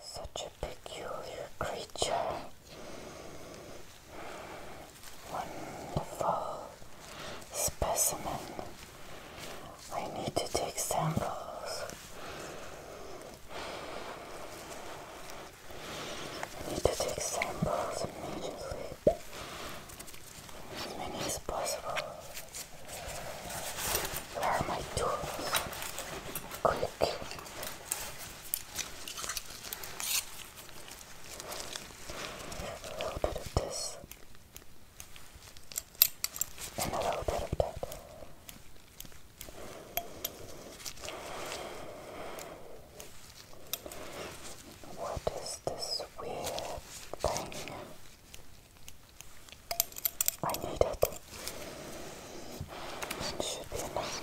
Such a peculiar creature. Wonderful specimen. I need to take samples. I need to take samples immediately as many as possible. Where are my tools? Quick. A little bit of this. And a little bit of that. What is this weird thing? I need it. should be enough.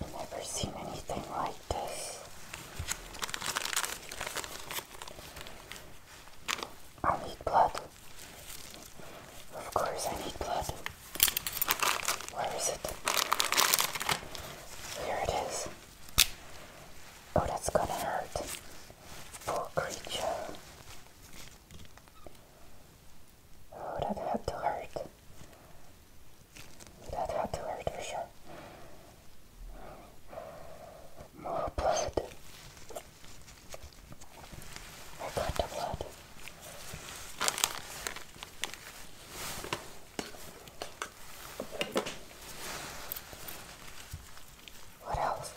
i never seen anything like this. I need blood. Of course, I need blood. Where is it? Here it is. Oh, that's gonna hurt. Poor creature. Oh, that had to hurt. That had to hurt for sure. More blood. I blood. What else?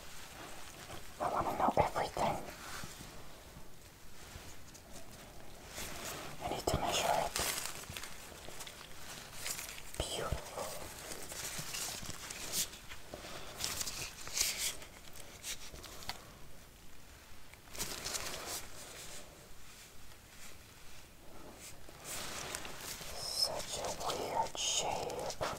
I want to know everything. I need to measure it. Beautiful. Such a weird shape.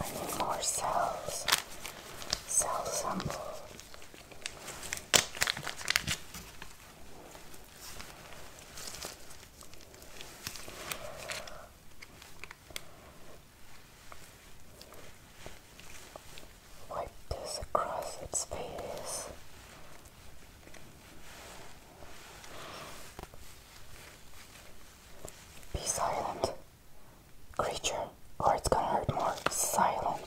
I need more cells. Cell sample. Wipe this across its face be silent, creature, or it's gonna hurt more. silent.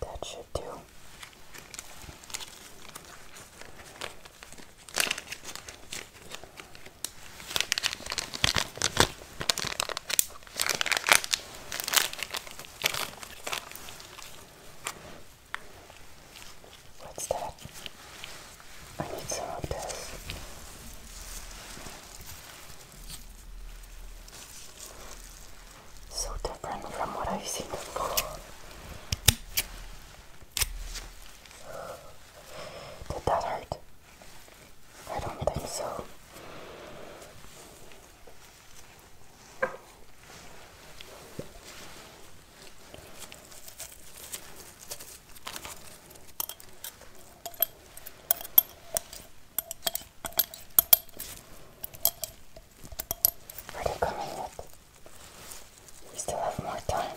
That should do. What's that? I need some of this. So different from what I've seen before. Did that hurt? I don't think so. What do We still have more time.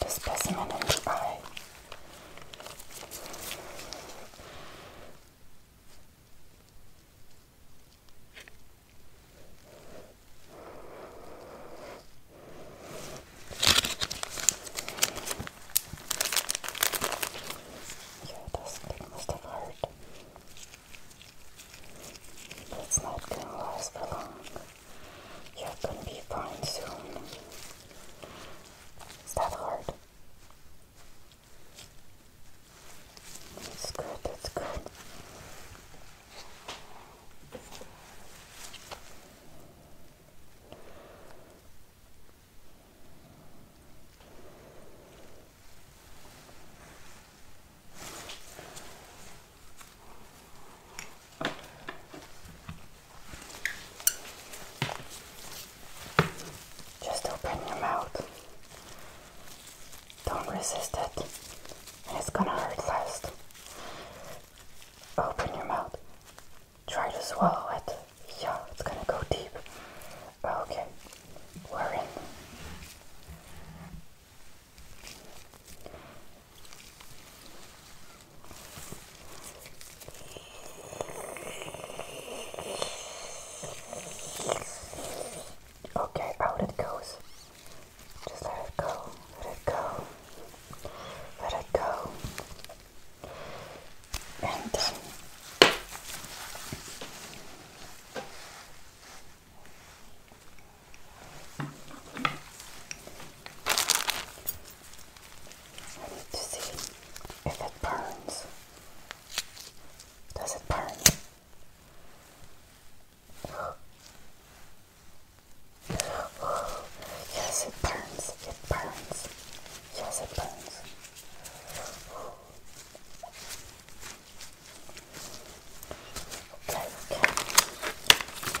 This specimen in the eye. Yeah, this thing must have hurt. it's not going to for long. You're gonna be fine soon. Is that hard? That's good, that's good. Just open your mouth. Don't resist it. It's gonna hurt last. Open your mouth. Try to swallow it. Yeah, it's gonna go deep. Okay, we're in. Okay, out it goes. Just let it go, let it go, let it go. And I need to see if it burns. Does it burn? Oh, yes, it burns. It burns. Yes, it burns. Okay, okay.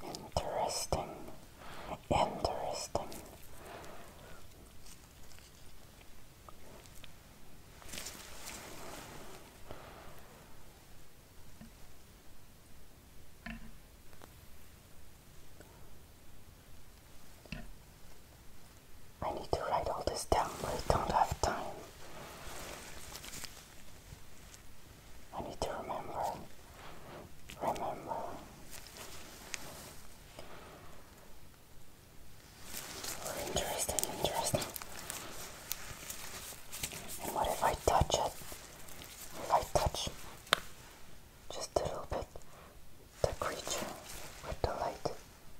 Interesting, interesting. I need to write all this down, but I don't have time. I need to remember. Remember. Interesting, interesting. what if I touch it? If I touch just a little bit the creature with the light,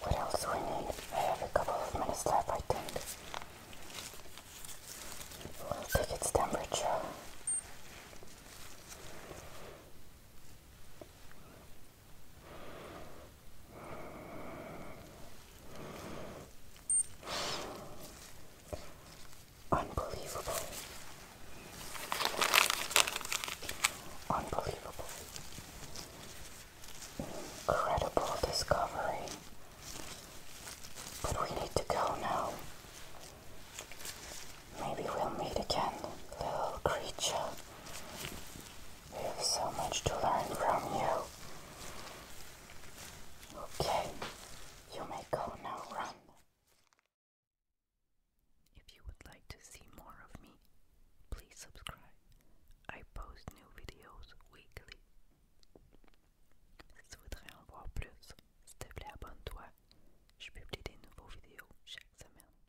What else do we need? I have a couple of minutes left, I think. take its temperature. Unbelievable. Unbelievable. Incredible discovery. But we need to go now. Maybe we'll meet again, little creature. We have so much to learn from you. Okay, you may go now, run. If you would like to see more of me, please subscribe. I post new videos weekly. Si tu voudrais en voir plus, s'il te plaît abonne-toi. Je publie des nouveaux vidéos chaque semaine.